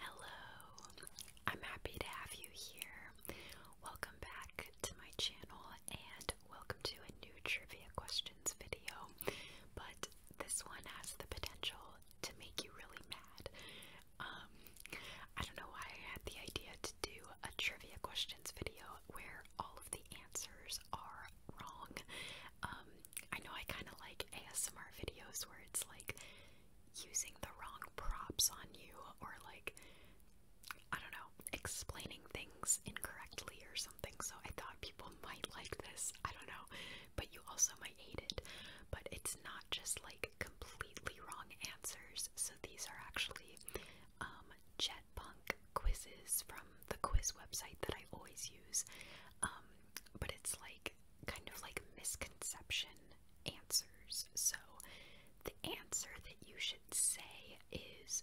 Hello, I'm happy to have you here. Welcome back to my channel and welcome to a new trivia questions video. But this one has the potential to make you really mad. Um, I don't know why I had the idea to do a trivia questions video where all of the answers are wrong. Um, I know I kind of like ASMR videos where it's like using the wrong props on you or like I don't know, explaining things incorrectly or something. So I thought people might like this. I don't know, but you also might hate it. But it's not just like completely wrong answers. So these are actually um Jetpunk quizzes from the quiz website that I always use. Um but it's like kind of like misconception answers. So the answer that you should say is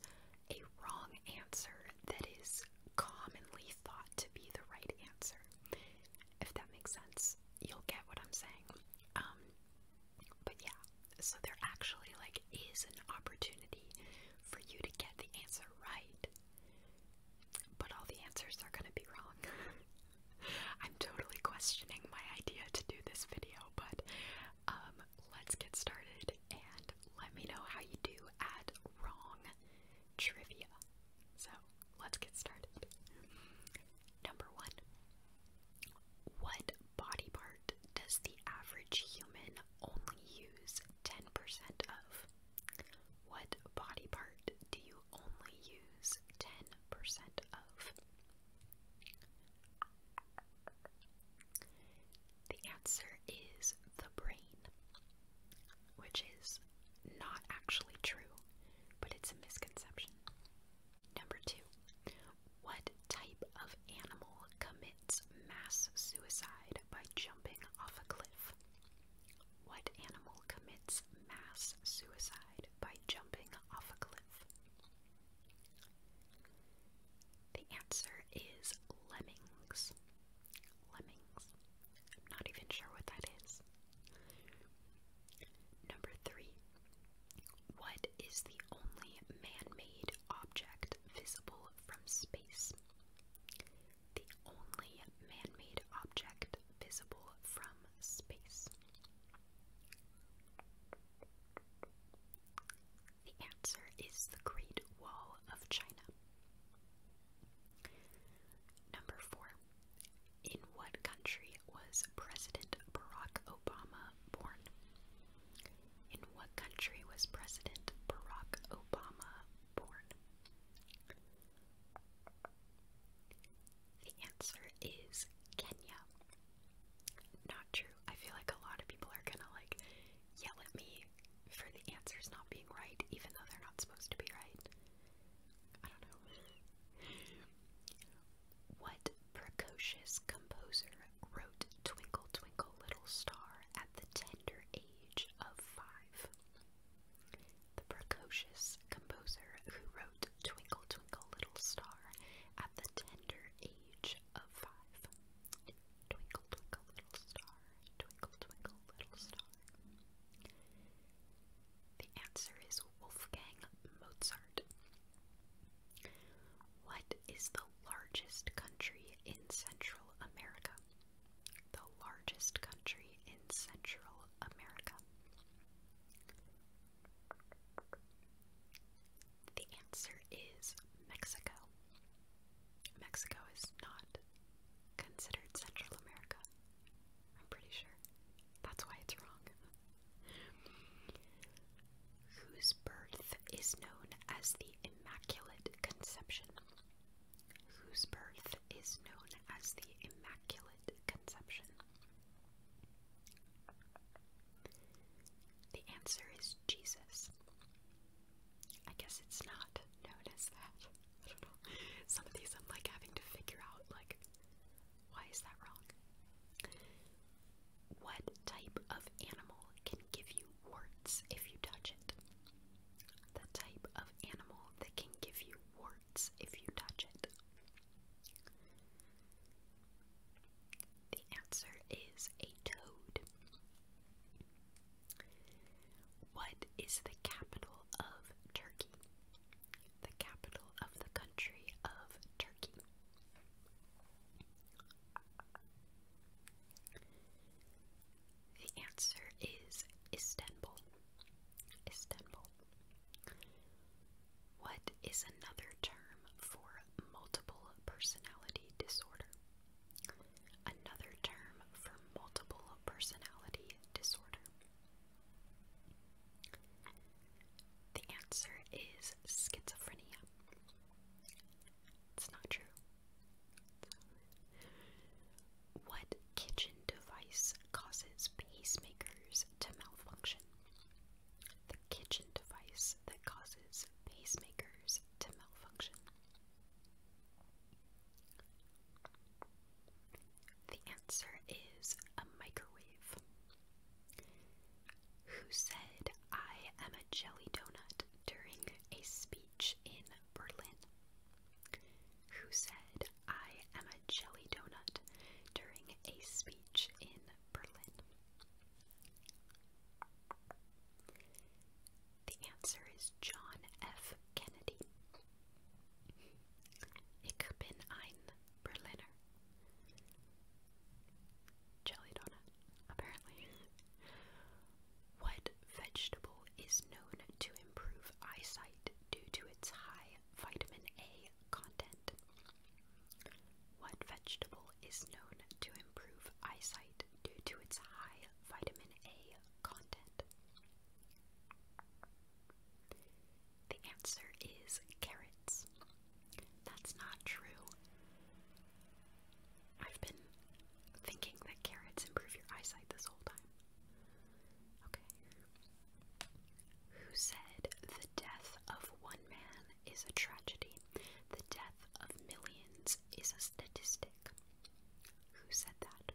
a wrong answer that is commonly thought to be the right answer. If that makes sense, you'll get what I'm saying. Um but yeah, so there actually like is an opportunity for you to get the answer right but all the answers are gonna be wrong. I'm totally questioning my idea to do this video, but um, let's get started and let me know how you do at wrong trivia. So let's get started. Number one What body part does the average human only use 10% of? What body part do you only use 10% of? The answer is the brain, which is not actually true, but it's a misconception. Number two, what type of animal commits mass suicide by jumping off a cliff? What animal commits mass suicide by jumping off a cliff? The answer is lemmings. Lemmings. I'm not even sure what that is. Number three. What is the only man made object visible from space? the only man-made object visible from space? The answer is the Great Wall of China. Number 4. In what country was President Barack Obama born? In what country was President Barack Obama born? The answer is Kenya. Not true. I feel like a lot of people are gonna like yell at me for the answers not being right, even though they're not supposed to be right. I don't know. What precocious composer wrote Twinkle Twinkle Little Star at the tender age of five? The precocious composer who wrote Twinkle Twinkle Little Star at the tender age of five. Twinkle Twinkle Little Star, Twinkle Twinkle Little Star. The answer is Wolfgang Mozart. What is the largest country in Central America? the largest country in Central America? The answer is Mexico. Mexico is not considered Central America. I'm pretty sure. That's why it's wrong. Whose birth is known as the Immaculate Conception? whose birth is known as the Immaculate Conception? The answer is Jesus. I guess it's not known that. Some of these I'm like having to figure out, like, why is that wrong? What type of animal can give you warts if you touch it? The type of animal that can give you warts if you touch it? The answer is a toad. What is the capital of Turkey? The capital of the country of Turkey. The answer is Istanbul. Istanbul. What is another term for multiple personality disorder? Another term for multiple personality disorder. The answer is schizophrenia. It's not true. What kitchen device causes pacemakers to malfunction? The kitchen device that causes pacemakers to malfunction. The answer is a microwave. Who said, I am a jelly donut during a speech in Berlin? who said, I am a jelly donut during a speech in Berlin. The answer is John F. Kennedy. Ich bin ein Berliner. Jelly donut, apparently. What vegetable is known to improve eyesight due to its high vitamin A content? What vegetable is known to improve eyesight due to its high vitamin A content? The answer is carrots. That's not true. I've been thinking that carrots improve your eyesight this whole time. Who said the death of one man is a tragedy? The death of millions is a statistic. Who said that?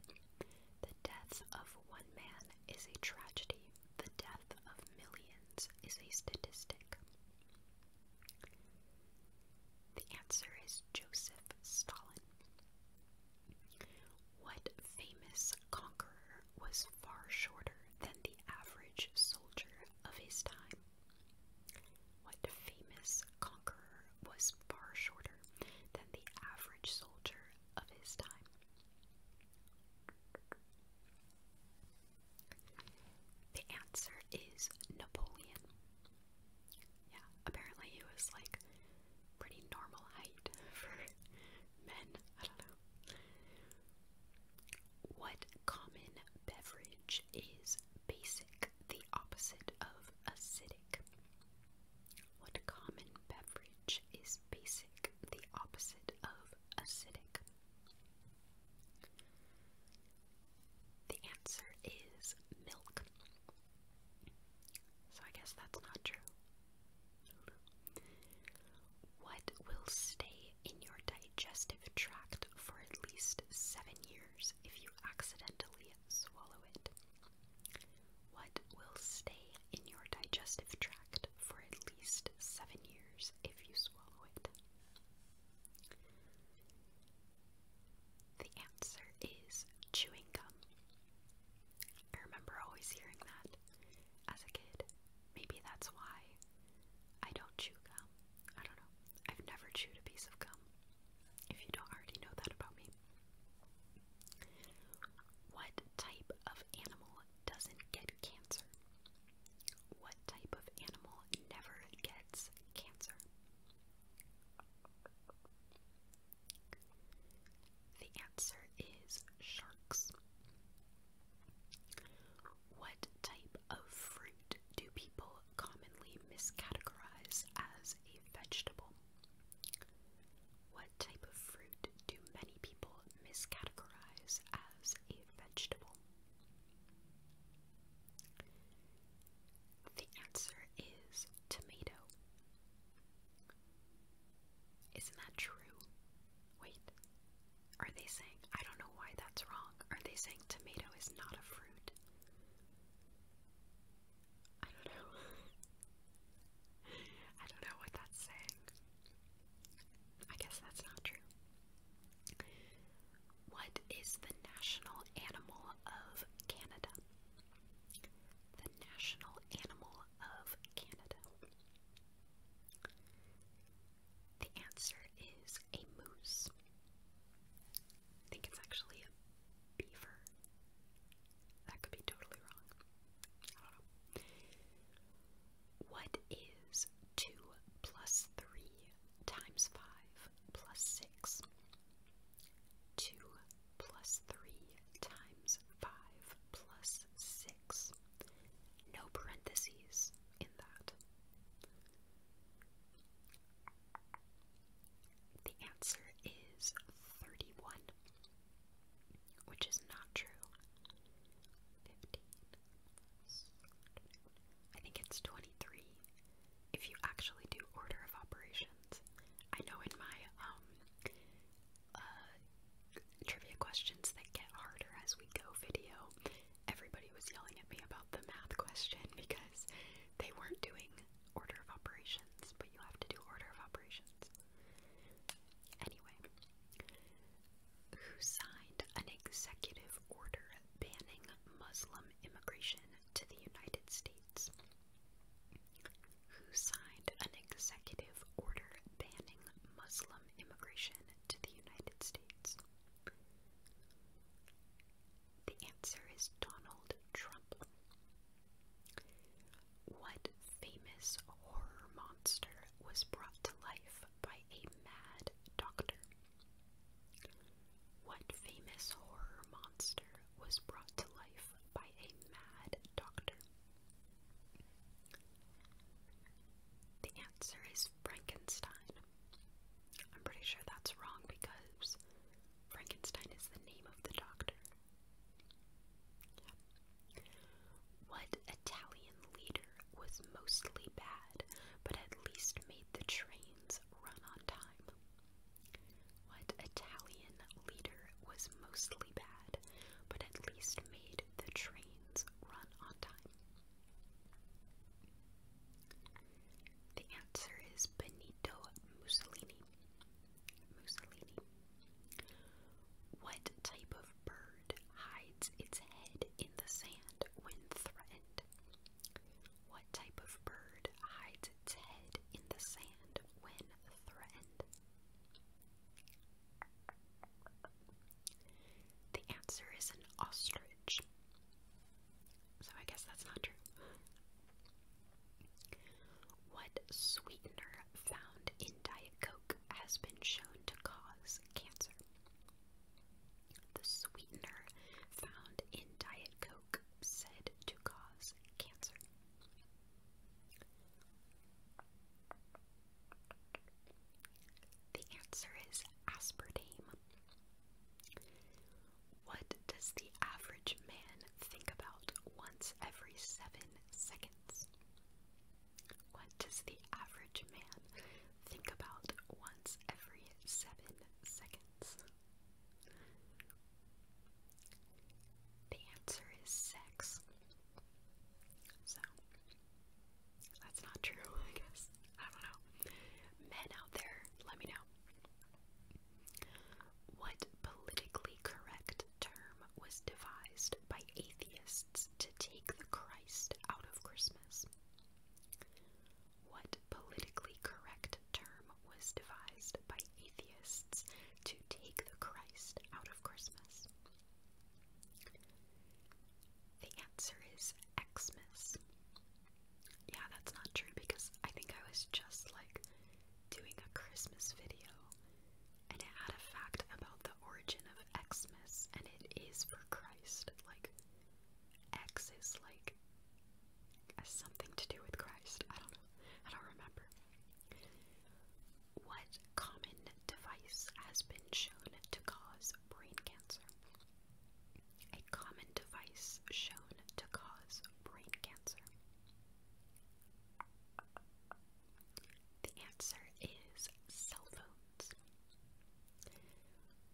The death of one man is a tragedy. The death of millions is a statistic. The answer is Joseph Stalin. What famous conqueror was far shorter than the average soldier of his time? What famous conqueror was far shorter than the average soldier of his time? The answer is Napoleon. Yeah, apparently he was like pretty normal height for men. I don't know. What common beverage is basic, the opposite of acidic? What common beverage is basic, the opposite of acidic? The answer is milk. So I guess that's not true. What will stay in your digestive tract for at least seven years if you accidentally swallow it? What will stay in your digestive tract for at least seven years if you swallow it? The answer is chewing gum. I remember always hearing that as a kid. Maybe that's why I don't chew gum. I don't know. I've never chewed a piece of gum. If you don't already know that about me. What type of animal doesn't get cancer? What type of animal never gets cancer? The answer is sharks. What type of fruit do people commonly miscategorize as a vegetable? What type of fruit do many people miscategorize as a vegetable? The answer is tomato. Isn't that true? Wait, are they saying, I don't know why that's wrong, are they saying tomato is not a fruit? I don't know. I don't know what that's saying. I guess that's not true. What is the national animal of Canada? the national animal of Canada? The answer is a moose. I think it's actually a beaver. That could be totally wrong. I don't know. What is 2 plus 3 times 5? plus 6. 2 plus 3 times 5 plus 6. No parentheses in that. The answer is 31, which is not true. 15. I think it's 23 if you actually do order of operations. I know in my um uh, trivia questions that get harder as we go video, everybody was yelling at me about the math question because they weren't doing order of operations, but you have to do order of operations. Anyway, who signed an executive order banning Muslim immigration to the United States? who signed an executive order banning Muslim immigration to the United States? The answer is Donald Trump. What famous horror monster was brought to life by a mad doctor? What famous horror monster was brought to life by a mad doctor? The answer is Frankenstein. I'm pretty sure that's wrong because Frankenstein is the name of the doctor. What Italian leader was mostly bad but at least made the trains run on time? What Italian leader was mostly bad, but at least made the trains run on time? The answer is Benito Mussolini. Mussolini. What type of bird hides its head in the sand when threatened? What type of bird hides its head in the sand when threatened? The answer is an ostrich. So I guess that's not true. What sweetener found in Diet Coke has been shown to cause cancer? The sweetener found in Diet Coke said to cause cancer? The answer is aspartame. What does the average man think about once every seven seconds? What does the average man think about once every seven seconds? The answer is sex. So, that's not true, I guess. I don't know. Men out there, let me know. What politically correct term was devised by atheists to take the Christ out of Christmas? What politically correct term was devised by atheists to take the Christ out of Christmas? The answer is Xmas. Yeah, that's not true because I think I was just like doing a Christmas video and I had a fact about the origin of Xmas and it is for Christ. Like, X is like has something to do with Christ. I don't know. I don't remember. What common device has been shown to cause brain cancer? A common device shown to cause brain cancer. The answer is cell phones.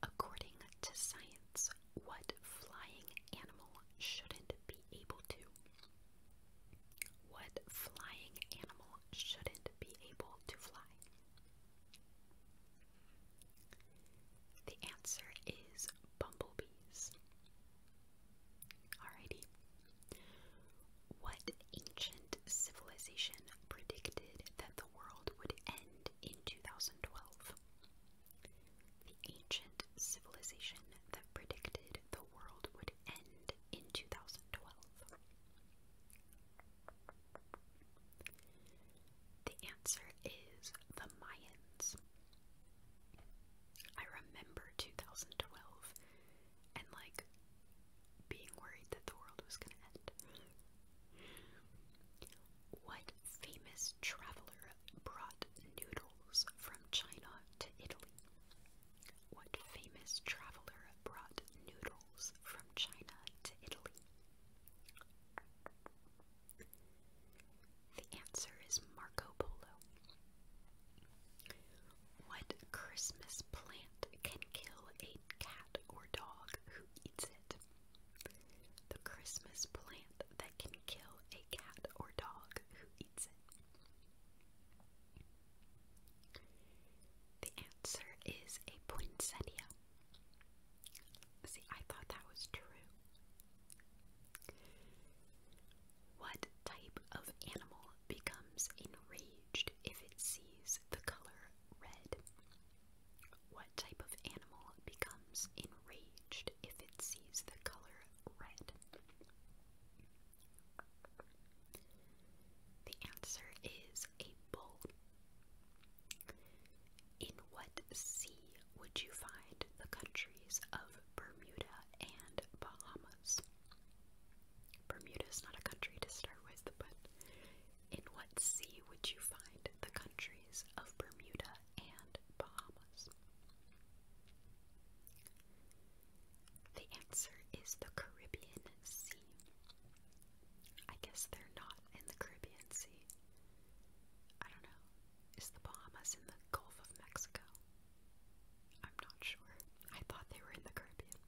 According to science, what flying animal shouldn't be able to? What flying animal shouldn't be able to fly? The answer is bumblebees. Alrighty. What ancient civilization predicted that the world would end in 2012? The ancient civilization that predicted the world would end in 2012. The answer is the Mayans. I remember 2012 and like being worried that the world was going to end. What famous traveler brought noodles from China to Italy? What famous traveler brought noodles from China to Italy? The answer is Marco Polo. What Christmas plant can kill a cat or dog who eats it? The Christmas plant that can kill a cat or dog who eats it. The answer is a poinsettia. See, I thought that was true. What type of animal becomes enraged if it sees the color red? What type of animal becomes enraged if it sees the color red? The answer is a bull. In what sea would you find the countries of Bermuda and Bahamas? Bermuda is not a country to start with, but in what sea would you find the countries of Bermuda and Bahamas? The answer is the Caribbean Sea. I guess they're not in the Caribbean Sea. I don't know. Is the Bahamas in the Gulf of Mexico? I'm not sure. I thought they were in the Caribbean.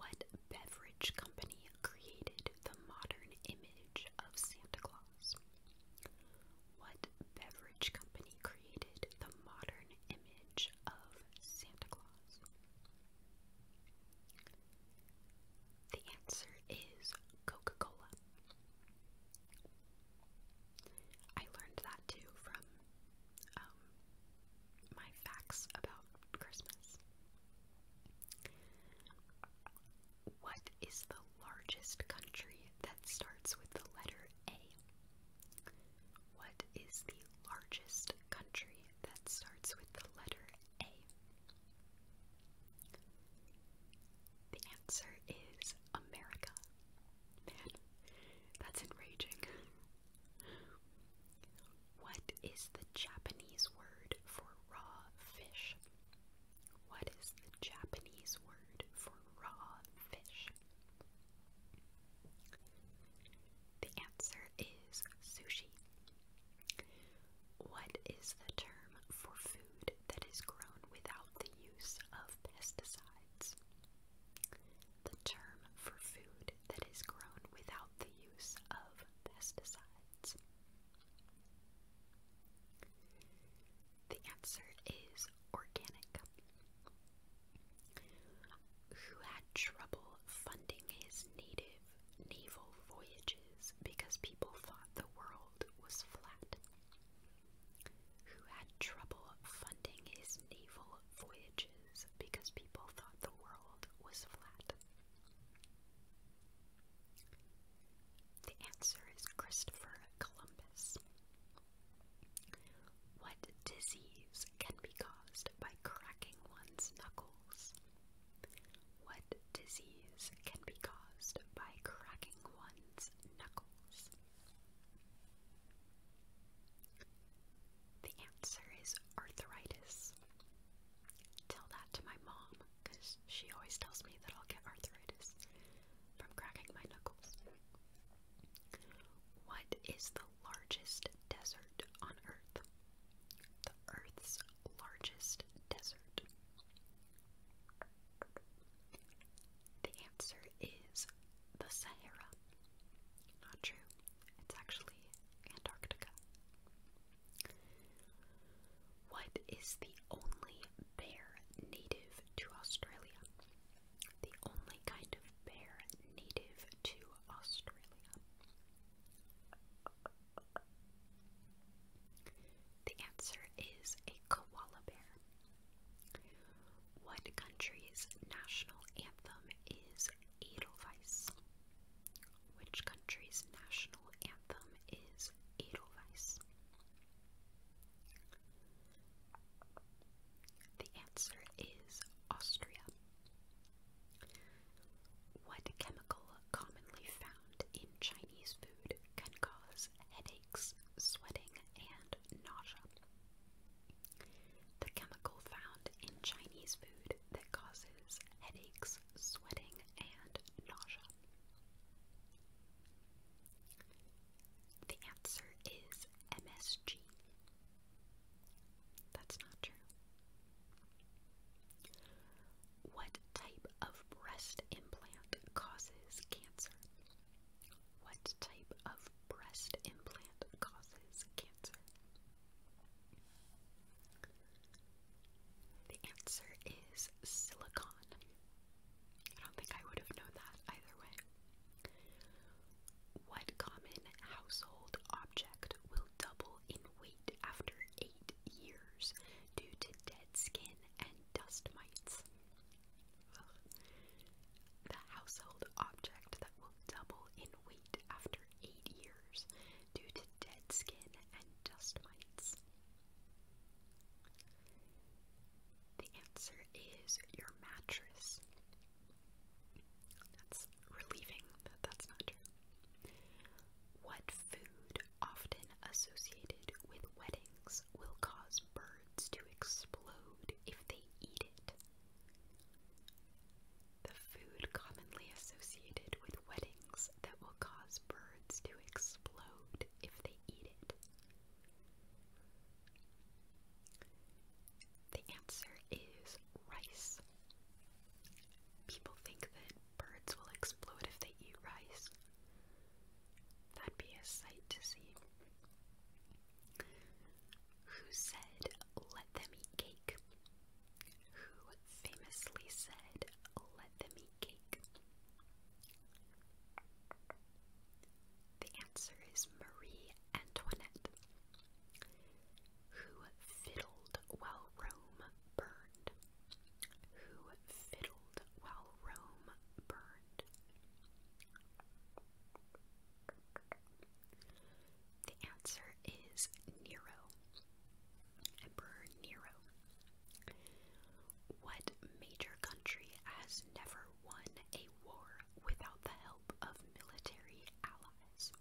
What beverage company created the modern image of Santa Claus? What beverage company created the modern image of Santa Claus? The answer is Coca Cola. I learned that too from um, my facts about Christmas. What is the largest country that starts with the letter A? What is the largest country that starts with the letter A? The answer is America. Man, that's enraging. What is the Japanese word for raw fish? What is the Japanese word for raw fish? The answer is sushi. What is the term for food that is grown without the use of pesticides? The term for food that is grown without the use of pesticides. The answer is organic. Who had trouble funding his native naval voyages because people thought the world was flat? Who had trouble funding his naval voyages because people thought the world was flat? The answer is Christopher Columbus. What disease can be caused by cracking one's knuckles? What disease can be caused by cracking one's knuckles? The answer is arthritis. Tell that to my mom, because she always tells me that I'll get arthritis from cracking my knuckles. What is the largest desert on Earth? The Earth's largest desert. The answer is the Sahara. Not true. It's actually Antarctica. What is the only bear native to Australia? The only kind of bear native to Australia. The answer is a koala bear. What country's national anthem is Edelweiss? Which country's national anthem? is Edelweiss. The answer is Austria. What chemical commonly found in Chinese food can cause headaches, sweating, and nausea? The chemical found in Chinese food that causes headaches, sweating, and nausea? The answer is MSG. That's not true. What type of breast implant causes cancer? What type of breast implant causes cancer? The answer is silicon. I don't think I would have known that either way. What common household object will double in weight after eight years due to dead skin and dust mites? The household object that will double in weight after eight years due to dead skin and dust mites? The answer is your mattress. That's relieving that that's not true. What food, often associated with weddings, will cause birds to explode if they eat it? the food commonly associated with weddings that will cause birds to explode if they eat it? The answer is rice. People think that birds will explode if they eat rice. That'd be a sight to see. Who said, let them eat cake? who famously said, Let them eat cake? The answer is Marie Antoinette, who fiddled while Rome burned. Who fiddled while Rome burned? The answer is Nero. Emperor Nero. What major country has never won a war without the help of military allies?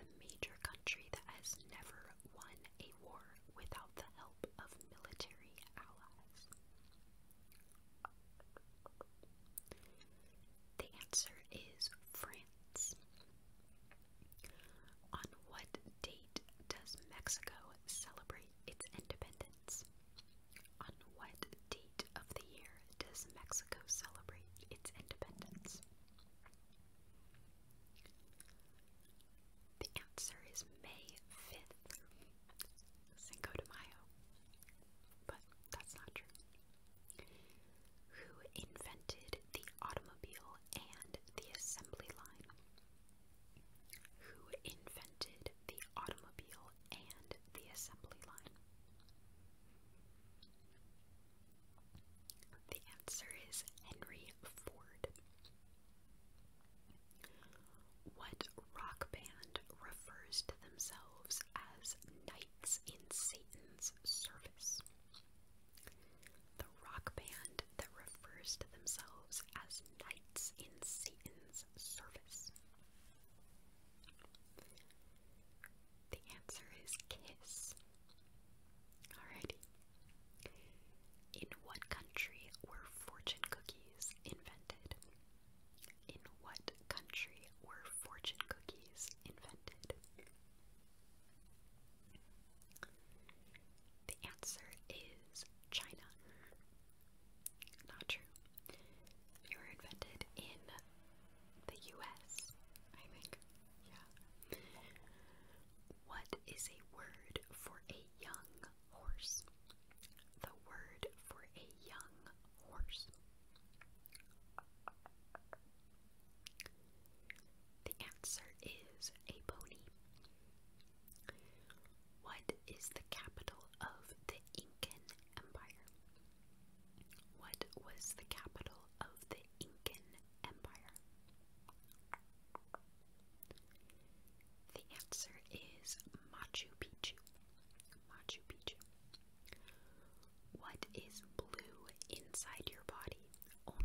The major country that has never won a war without the help of military allies. The answer is France. On what date does Mexico celebrate its independence? On what date of the year does Mexico celebrate its independence? The answer is May 5th, Cinco de Mayo. But that's not true who invented the automobile and the assembly line? Who invented the automobile and the assembly line? The answer is Henry Ford. What rock band refers to themselves as knights in Satan's service? The rock band that refers to themselves as knights in Satan's service. The answer is Kiss. Alrighty. In what country were fortune cookies invented? In what country were fortune cookies invented? The answer is China. Not true. They were invented in the US, I think. Yeah. What is a word for a young horse? The word for a young horse. The answer is a pony. What is the capital of the Incan Empire? What was the capital of the Incan Empire? The answer is Machu Picchu. Machu Picchu. What is blue inside your body,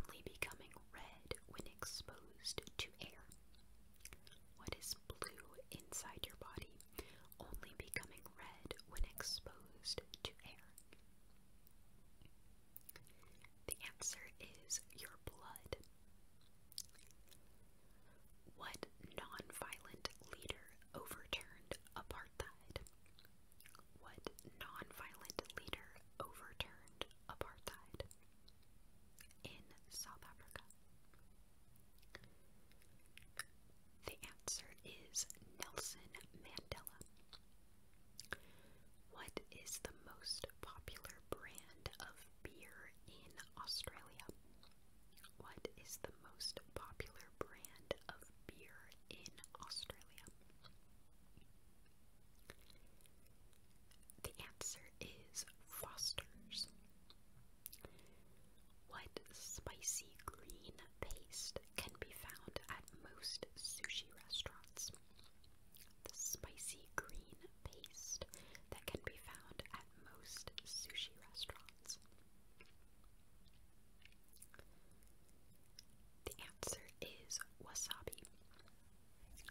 only becoming red when exposed to air? What is blue inside your body, only becoming red when exposed to air? The answer is your blood. What nonviolent leader overturned apartheid? What non-violent leader overturned apartheid in South Africa? The answer is Nelson Mandela. What is the most popular brand of beer in Australia? What is the most popular brand of beer in Australia? The answer is Foster's. What spicy green paste can be found at most sushi restaurants? The spicy green paste that can be found at most sushi restaurants. The answer is wasabi.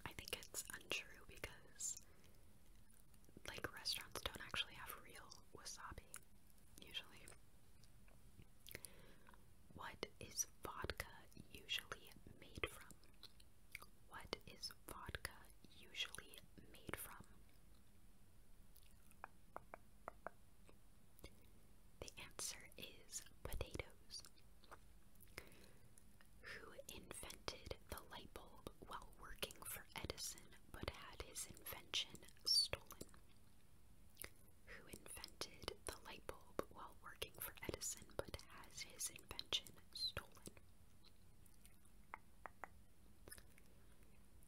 I think it's untrue because, like, restaurants don't actually have real wasabi, usually. What is vodka usually made from? What is vodka usually made from? The answer is potatoes. Who invented the light bulb while working for Edison but had his invention stolen? Who invented the light bulb while working for Edison but has his invention stolen?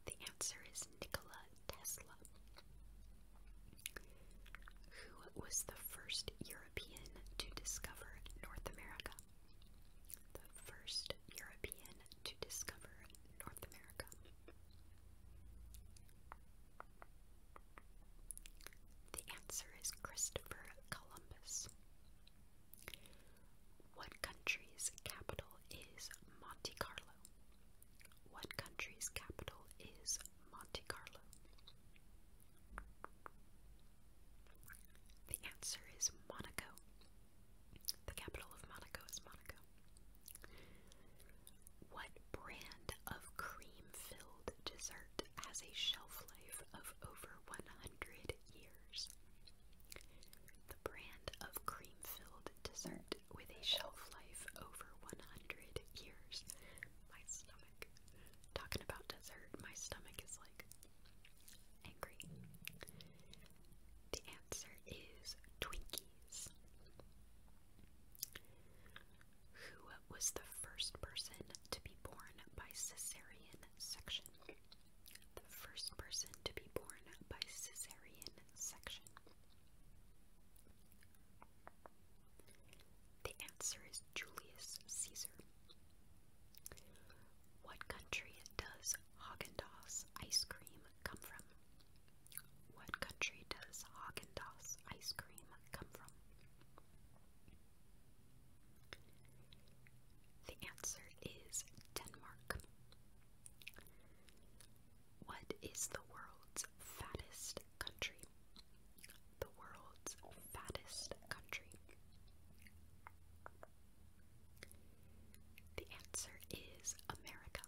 The answer is Nikola Tesla, who was the first European to discover North America. The first European to discover North America. The answer is Christopher Columbus. What country's capital is Monte Carlo? What country's capital is Monte Carlo? The answer is Monaco. The capital of Monaco is Monaco. What brand of cream filled dessert has a shelf life of over 100 years? The brand of cream filled dessert with a shelf life over 100 years. My stomach. Talking about dessert, my stomach is like angry. The answer is Twinkies. Who was the first person to be born by cesarean section? The first person to be born by cesarean section. The answer is Julius Caesar. What country does Haagen-Dazs ice cream come from? What country does Haagen-Dazs ice cream come from? The answer is Denmark. What is the world's fattest country? The world's fattest country. The answer is America.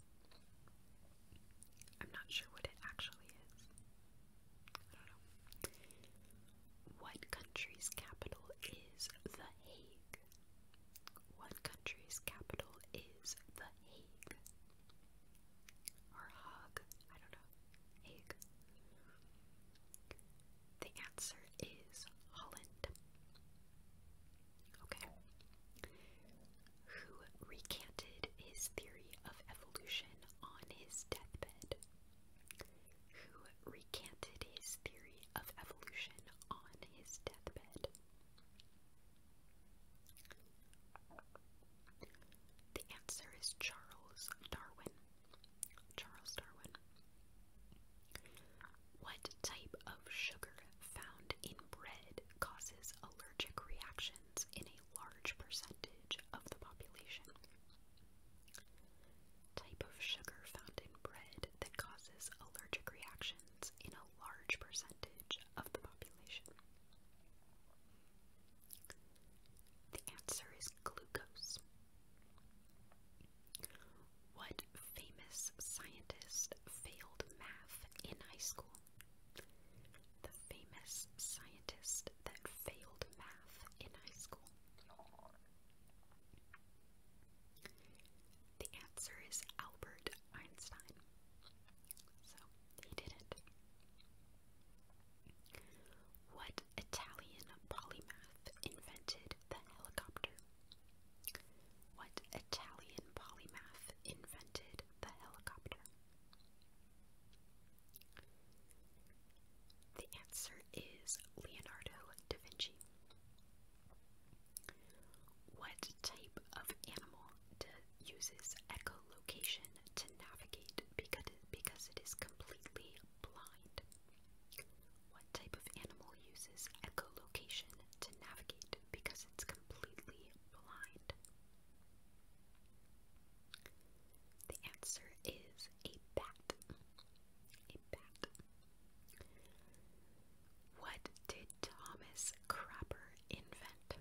I'm not sure what it actually is. What country's capital is The Hague? What country's capital is The Hague? Or Hague? I don't know. Hague. The answer is Holland. Okay. Who recanted his theory of evolution on his deathbed? Who recanted his theory of evolution on his deathbed? The answer is Charles Darwin. Charles Darwin. What type of sugar found in bread causes allergic reactions in a large percentage of the population? Type of sugar found in bread that causes allergic reactions in a large percentage of the population? The answer is glucose. What famous scientist failed math in high school? The famous scientist that failed math in high school. The answer is Albert Einstein. So he did it. What Italian polymath invented the helicopter? What Italian polymath invented the helicopter? The answer is Leonardo da Vinci. What type of animal uses echolocation to navigate because because it is completely blind? What type of animal uses echolocation to navigate because it's completely blind? The answer is a bat. A bat. What did Thomas Crapper invent?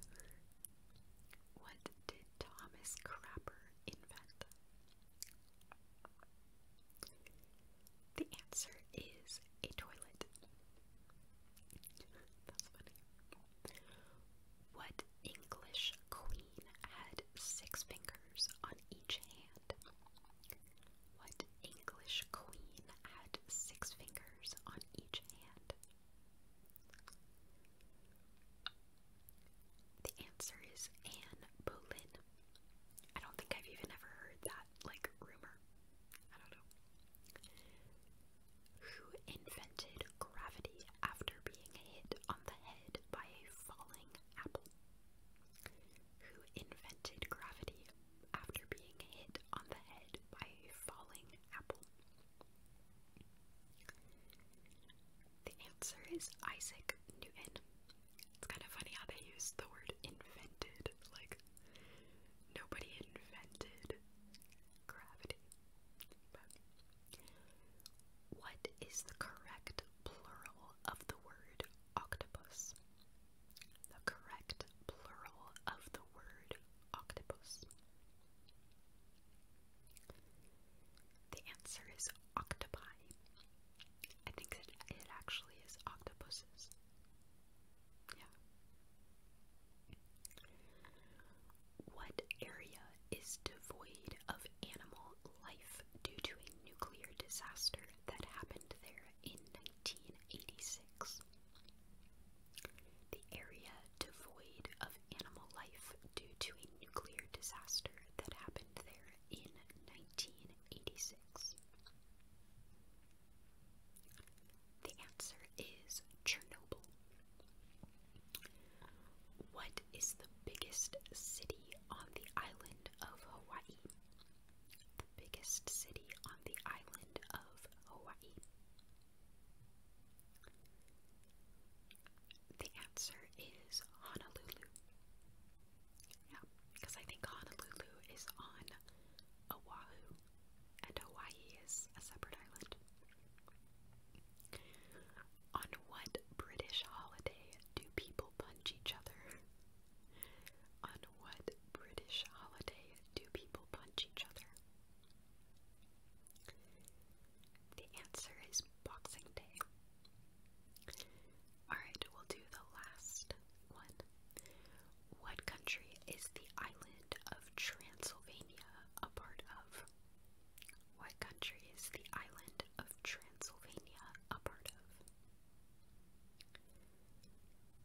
What did Thomas Crapper invent? The answer is a toilet. What English queen had six fingers on each hand? What English queen had six fingers on each hand? The answer is Anne Boleyn. I don't think I've even ever heard that, like, rumor. I don't know. Who invented gravity after being hit on the head by a falling apple? Who invented gravity after being hit on the head by a falling apple? The answer is Isaac Newton. It's kind of funny how they use the word invented. Like, nobody invented gravity. what is the correct plural of the word octopus? the correct plural of the word octopus? The answer is octopi. I think it actually is octopuses. Yeah. What area is devoid of animal life due to a nuclear disaster that happened there in 1986. The area devoid of animal life due to a nuclear disaster that happened there in 1986. The answer is Chernobyl. What is the biggest city on the island of Hawaii? the biggest city on the island of Hawaii? The answer is Honolulu. Yeah, because I think Honolulu is on Oahu, and Hawaii is a separate island. On what British holiday do people punch each other? On what British holiday do people punch each other? The answer is Boxing Day. Alright, we'll do the last one. What country is the island of Transylvania a part of? What country is the island of Transylvania a part of?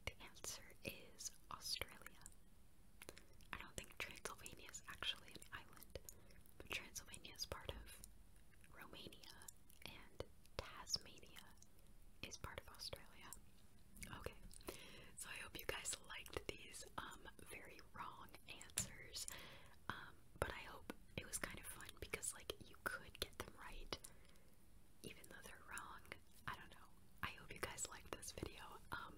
The answer is Australia. I don't think Transylvania is actually an island, but Transylvania is part of Romania, and Tasmania is part of Australia. Okay, so I hope you guys liked these um, very wrong answers, um, but I hope it was kind of fun because, like, you could get them right even though they're wrong, I don't know. I hope you guys liked this video. Um,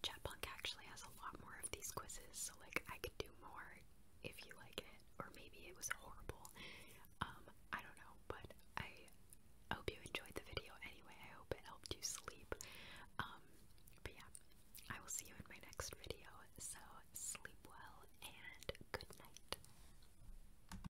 Chatpunk actually has a lot more of these quizzes, so like I could do more if you like it, or maybe it was horrible. Um, I don't know, but I hope you enjoyed the video anyway. I hope it helped you sleep. Um, but yeah, I will see you in my next video. So sleep well and good night.